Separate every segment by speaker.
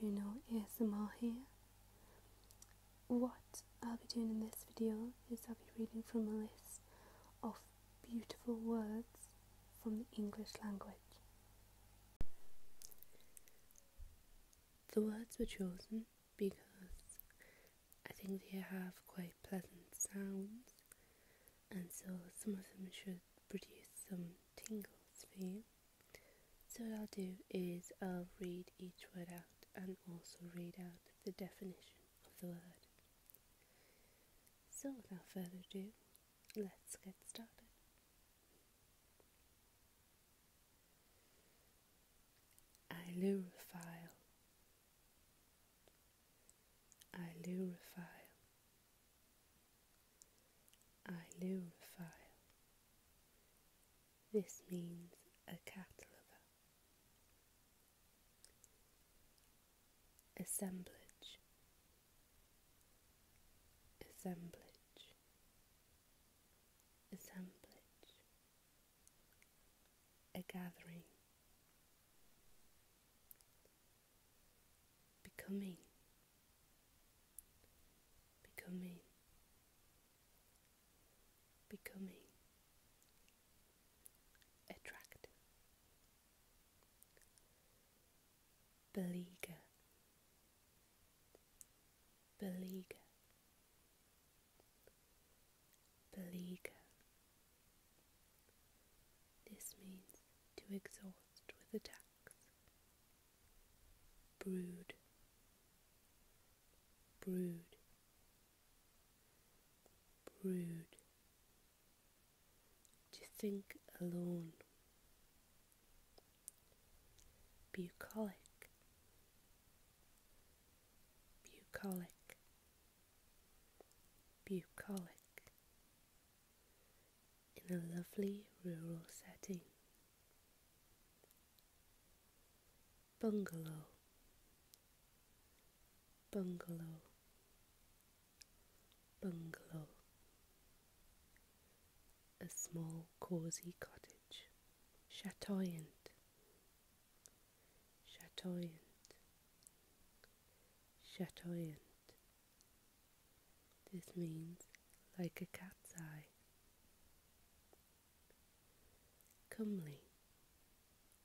Speaker 1: Juno ASMR here. What I'll be doing in this video is I'll be reading from a list of beautiful words from the English language. The words were chosen because I think they have quite pleasant sounds, and so some of them should produce some tingles for you. So, what I'll do is I'll read each word out and also read out the definition of the word. So, without further ado, let's get started. Ilurophile. Ilurophile. Ilurophile. This means a cat lover assemblage assemblage assemblage a gathering becoming becoming becoming attractive. Beleaguer, beleaguer, beleaguer. This means to exhaust with attacks. Brood, brood, brood, to think alone, bucolic, bucolic, bucolic, in a lovely rural setting. Bungalow, bungalow, bungalow, a small cosy cottage, chatoyant, chatoyant, chatoyant. This means like a cat's eye. Comely,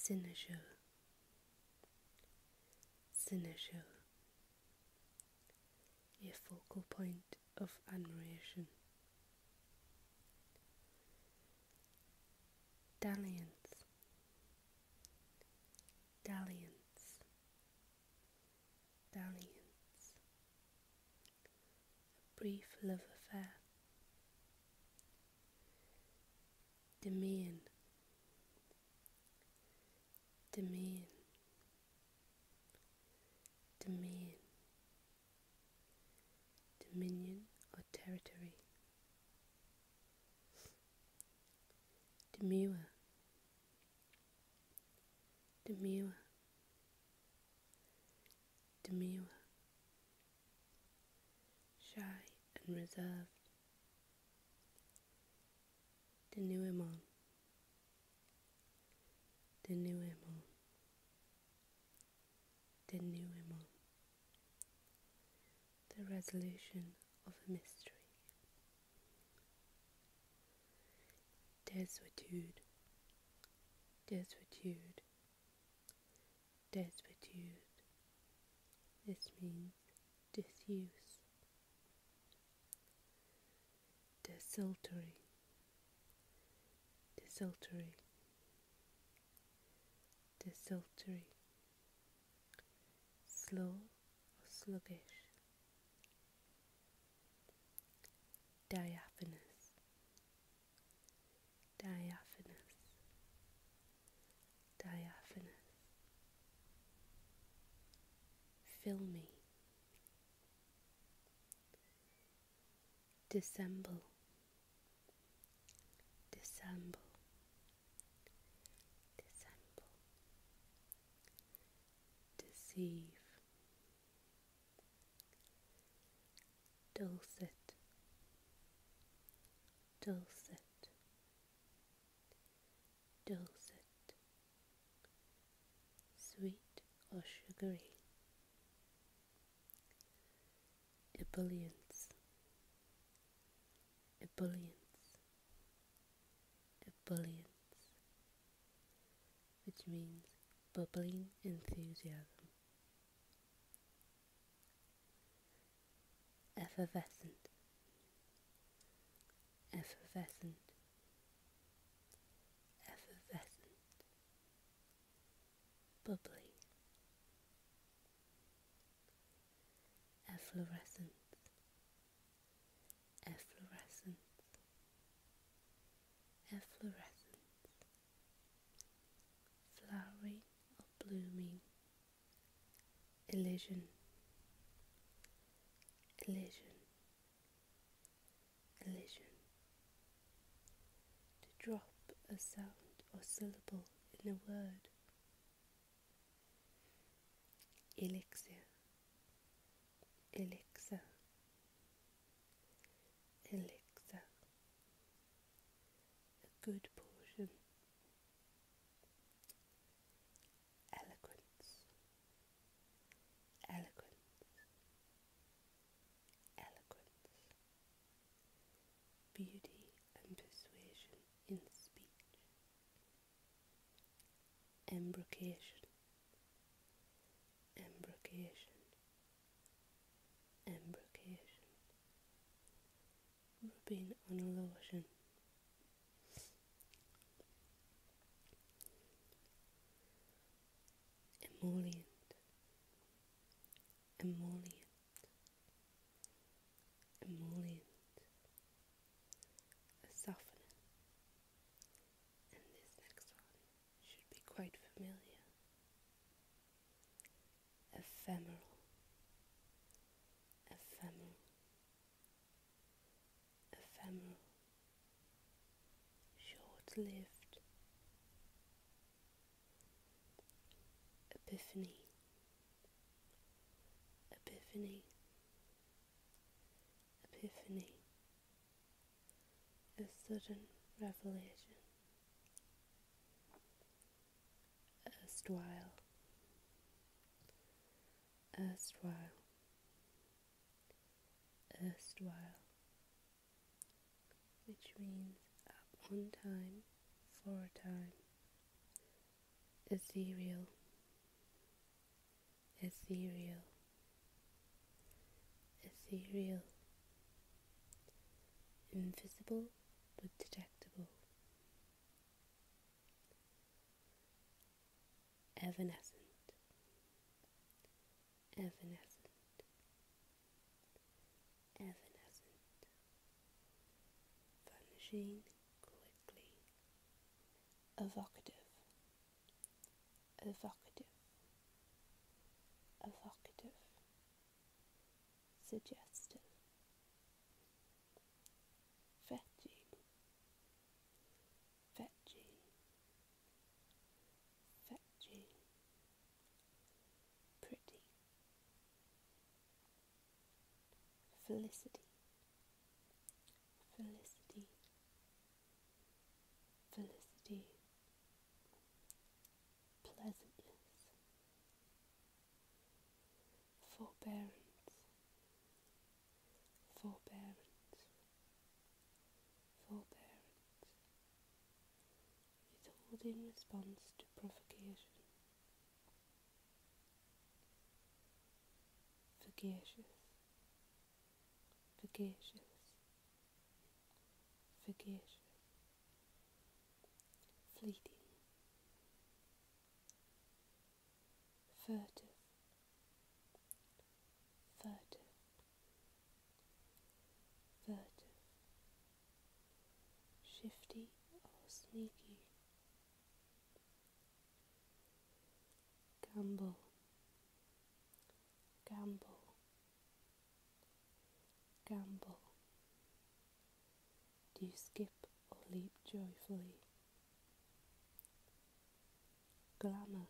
Speaker 1: Sinajou, Sinajou, a focal point of admiration. Dalliance, dalliance, dalliance, a brief love affair. Domain. Domain. Domain. Dominion or territory. Demure. Demure. Demure shy and reserved. The new Imam. The new Imam. The new Imam. The resolution of a mystery. Desuetude, desuetude, Desuetude. This means disuse. Desultory. Desultory. Desultory. Slow or sluggish. Diaphanous diaphanous, diaphanous, filmy, dissemble, dissemble, dissemble, deceive dulcet, dulcet, dulcet, sweet or sugary, ebullience, ebullience, ebullience, which means bubbling enthusiasm effervescent, effervescent, effervescent, bubbly, efflorescent, efflorescent, efflorescent, flowering blooming, illusion, illusion, illusion. To drop a sound or syllable in a word, elixir, elixir, elixir a good portion. Eloquence, eloquence, eloquence, beauty and persuasion in speech, embrocation, embrocation, embrocation, rubbing on a lotion. Emollient, emollient, emollient, a softener, and this next one should be quite familiar ephemeral, ephemeral, ephemeral, short lived, epiphany, epiphany, epiphany, a sudden revelation erstwhile, erstwhile, erstwhile, which means at one time, for a time, ethereal, ethereal, ethereal, invisible but detectable. Evanescent, evanescent, evanescent, vanishing quickly, evocative, evocative, evocative, suggestion, fetching, fetching, fetching, pretty, felicity, felicity, felicity, pleasantness, forbearance, forbearance, forbearance, in response to provocation, fugacious, fugacious. Forgetful, fleeting, furtive, furtive, furtive, shifty or sneaky, gamble, gamble. Gamble. Do you skip or leap joyfully? Glamour.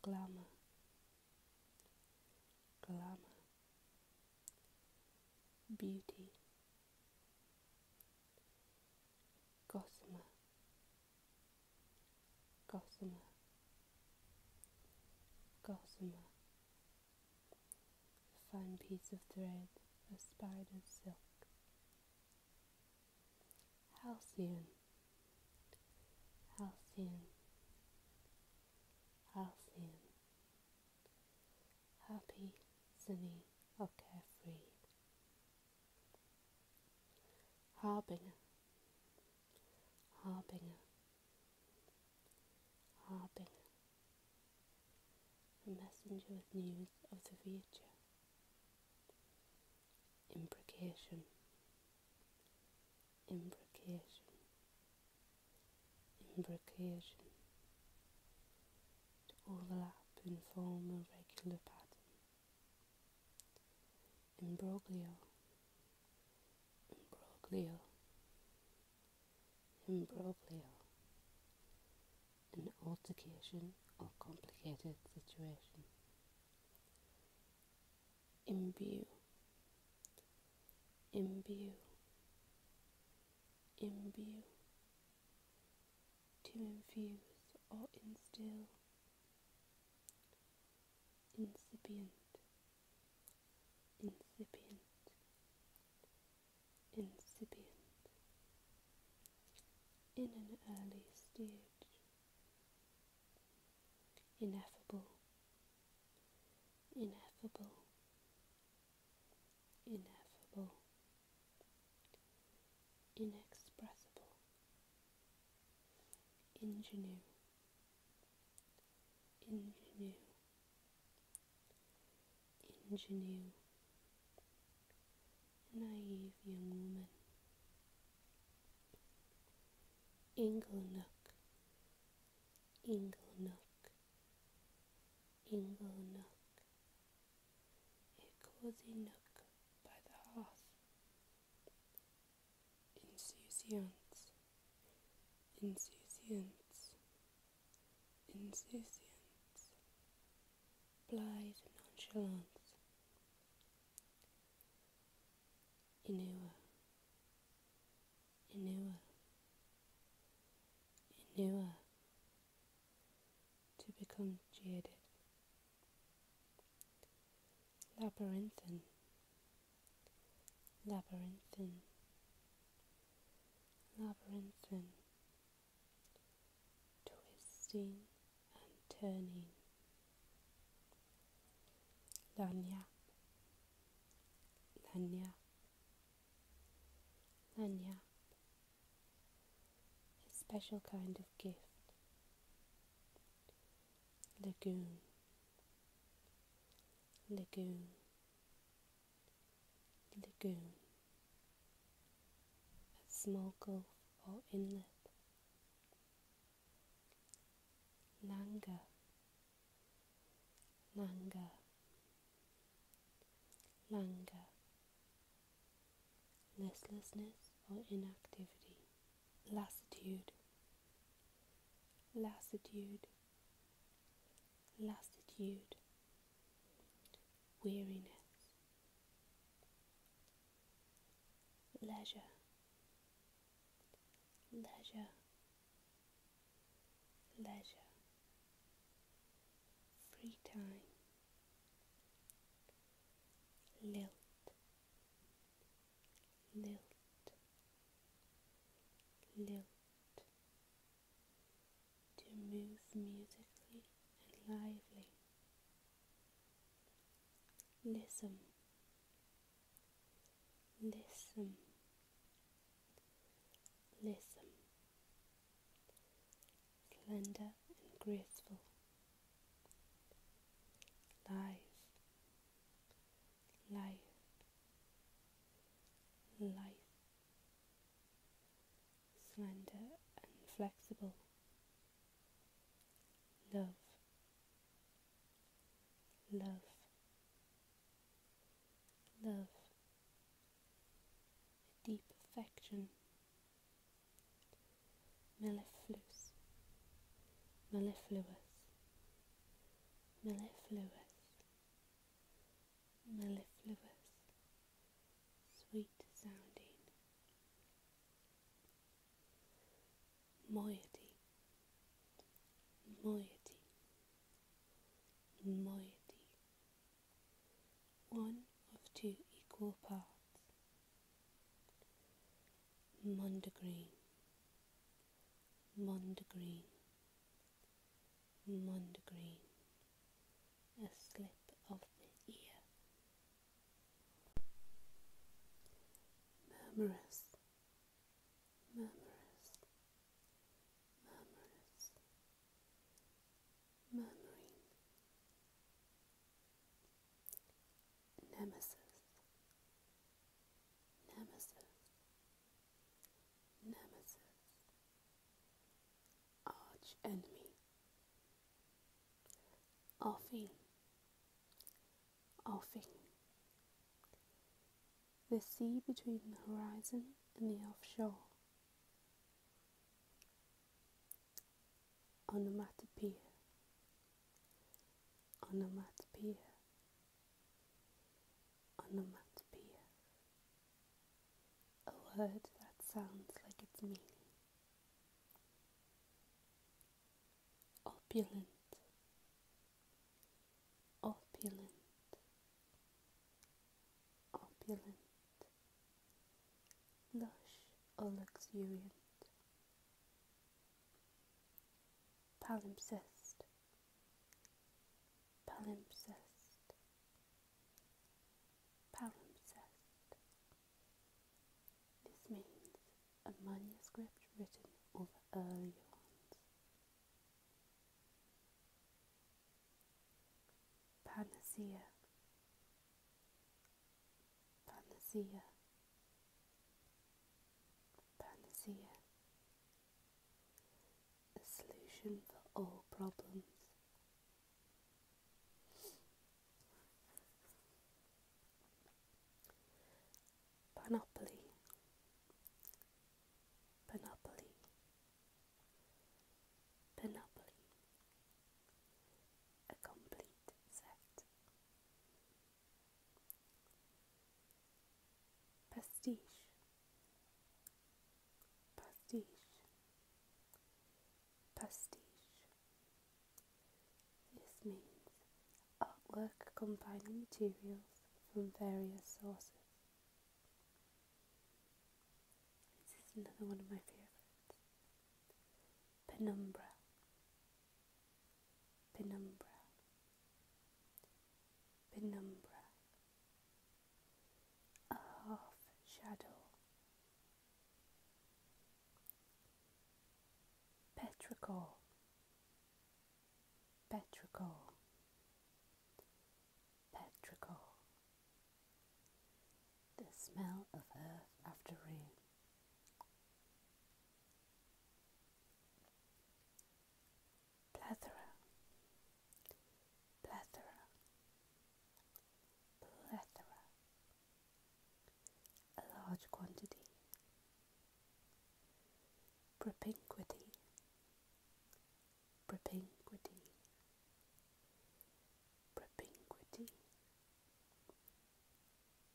Speaker 1: Glamour. Glamour. Beauty. Gossamer gossamer, gossamer, a fine piece of thread of spider's silk, halcyon, halcyon, halcyon, happy, sunny, or carefree. Harbinger, harbinger, Harbinger, a messenger with news of the future. Imprecation, imprecation, imprecation. To overlap in form a regular pattern imbroglio, imbroglio, imbroglio, an altercation or complicated situation. Imbue, imbue, imbue, to infuse or instill incipient, incipient, incipient, in an early stage, ineffable, ineffable, ineffable, inexpressible, ingenue ingenue, ingenue, naive young woman, ingle nook, ingle a cozy nook by the hearth insouciance, insouciance, insouciance, blithe nonchalance, Inua, Inua, Inua, to become jaded, labyrinthine labyrinthine, labyrinthine, twisting and turning, lanyap, lanyap, lanyap, a special kind of gift lagoon, lagoon, lagoon, a small gulf or inlet, langa, langa, langa, Restlessness or inactivity lassitude, lassitude, lassitude, weariness, leisure, leisure, leisure, free time, lilt lilt, lilt, to move musically and lively. Listen, listen, listen, slender and graceful, live life, life, slender and flexible, love, love, love, a deep affection, mellifluous, mellifluous, mellifluous, mellifluous, sweet sounding, moiety, moiety, moiety, one of two equal parts Mondegreen, Mondegreen, Mondegreen, a slip of the ear. Murmurous, murmurous, murmurous, murmuring, nemesis, nemesis, nemesis, arch enemy, Arfin, The sea between the horizon and the offshore. Onomatopoeia onomatopoeia onomatopoeia a word that sounds like its meaning opulent opulent opulent lush or luxuriant palimpsest, palimpsest, palimpsest. This means a manuscript written over earlier ones. Panacea, panacea, panacea, a solution for all problems. Panoply, panoply, panoply, a complete set pastiche, pastiche, pastiche. This means artwork combining materials from various sources. This is another one of my favourites. Penumbra, penumbra, penumbra, a half shadow, petrichor, petrichor, petrichor, the smell of earth after rain plethora, plethora, plethora, a large quantity, propinquity, propinquity, propinquity,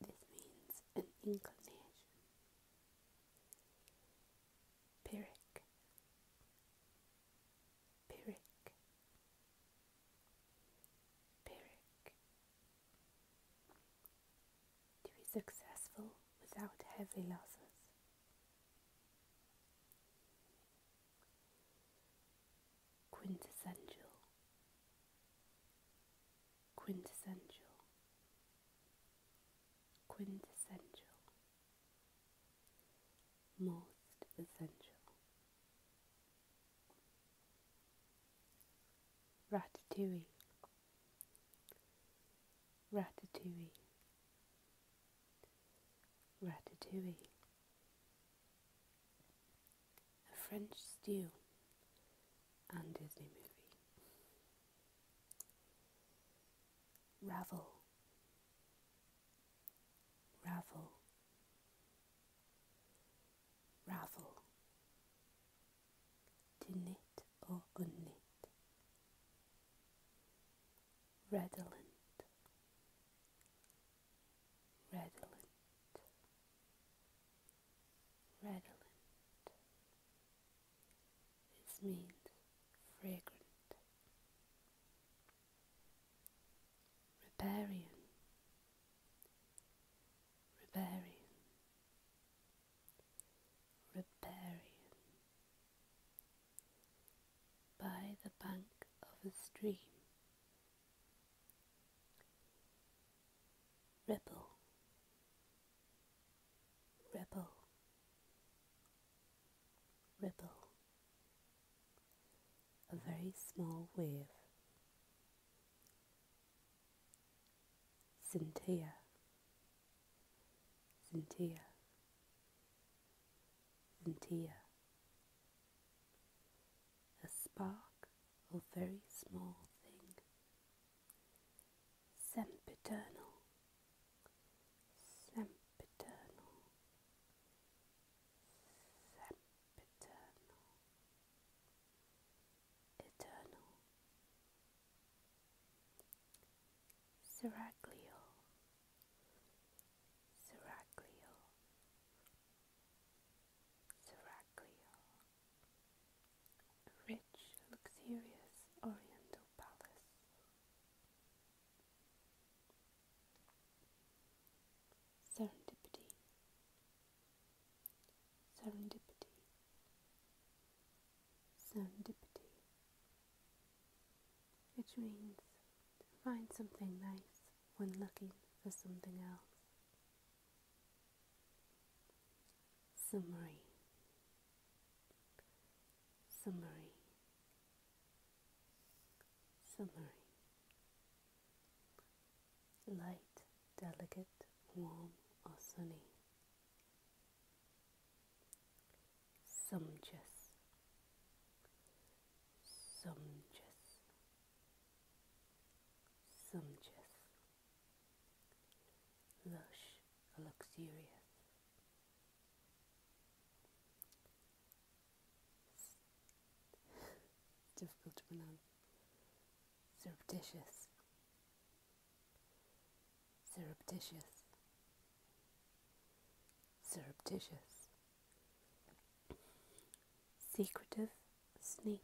Speaker 1: this means an inclination. Pyrrhic, Pyrrhic, Pyrrhic. To be successful without heavy losses quintessential, quintessential, quintessential, most essential. Ratatouille, ratatouille, ratatouille. A French Stew and Disney movie. Ravel. Ravel. Ravel. To knit or unknit. Redolent redolent, redolent. This means fragrant, riparian, riparian, riparian. By the bank of a stream ripple, ripple, ripple, a very small wave, scintilla, scintilla, scintilla, a spark or very small thing. Sempiternal, sempiternal, sempiternal, eternal. Seraglio, seraglio, Seraglio, rich, luxurious oriental palace. Serendipity, serendipity, serendipity. Which means find something nice when looking for something else. Summary. Summary. Summary. Light, delicate, warm, or sunny. Sumptuous. Sumptuous sumptuous, lush, luxurious, difficult to pronounce, surreptitious, surreptitious, surreptitious secretive, sneaky.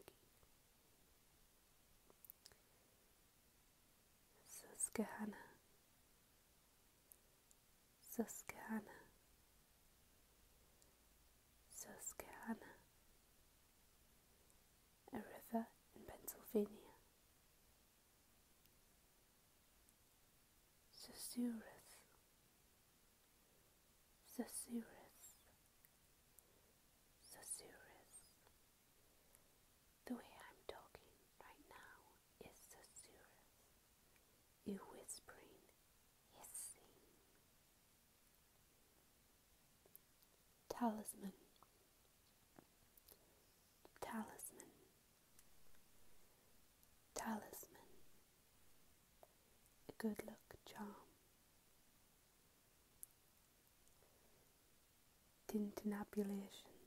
Speaker 1: Susquehanna, Susquehanna, Susquehanna, a river in Pennsylvania. Susurrus, Cerceris, Cerceris. The way I'm talking right now is Cerceris. You whispering, hissing. Talisman, Talisman, Talisman a good luck charm. Tintinabulation,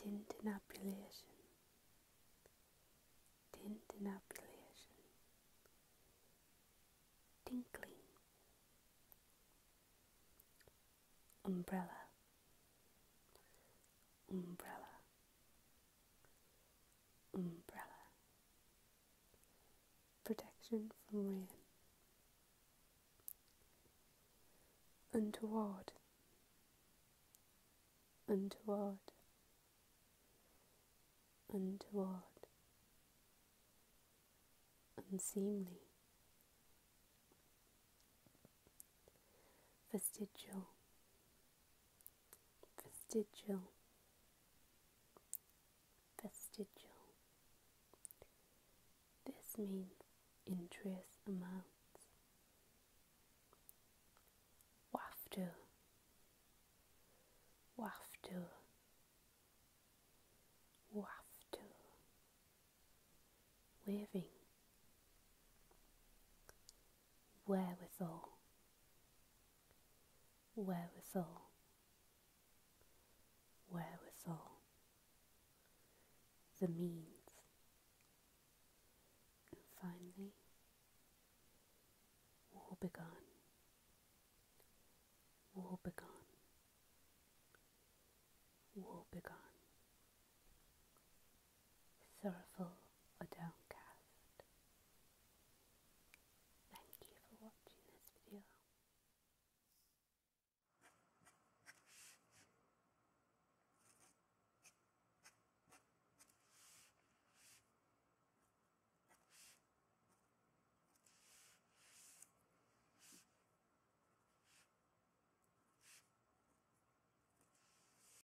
Speaker 1: tintinabulation, tintinabulation, tinkling, umbrella, umbrella, umbrella, protection from rain, untoward, untoward, untoward, unseemly, vestigial, vestigial, vestigial. This means in amounts. Wafter, wafter, wafter. Waving, wherewithal, wherewithal, wherewithal, the means, and finally, war begun, war begun, war begun sorrowful or downcast. Thank you for watching this video.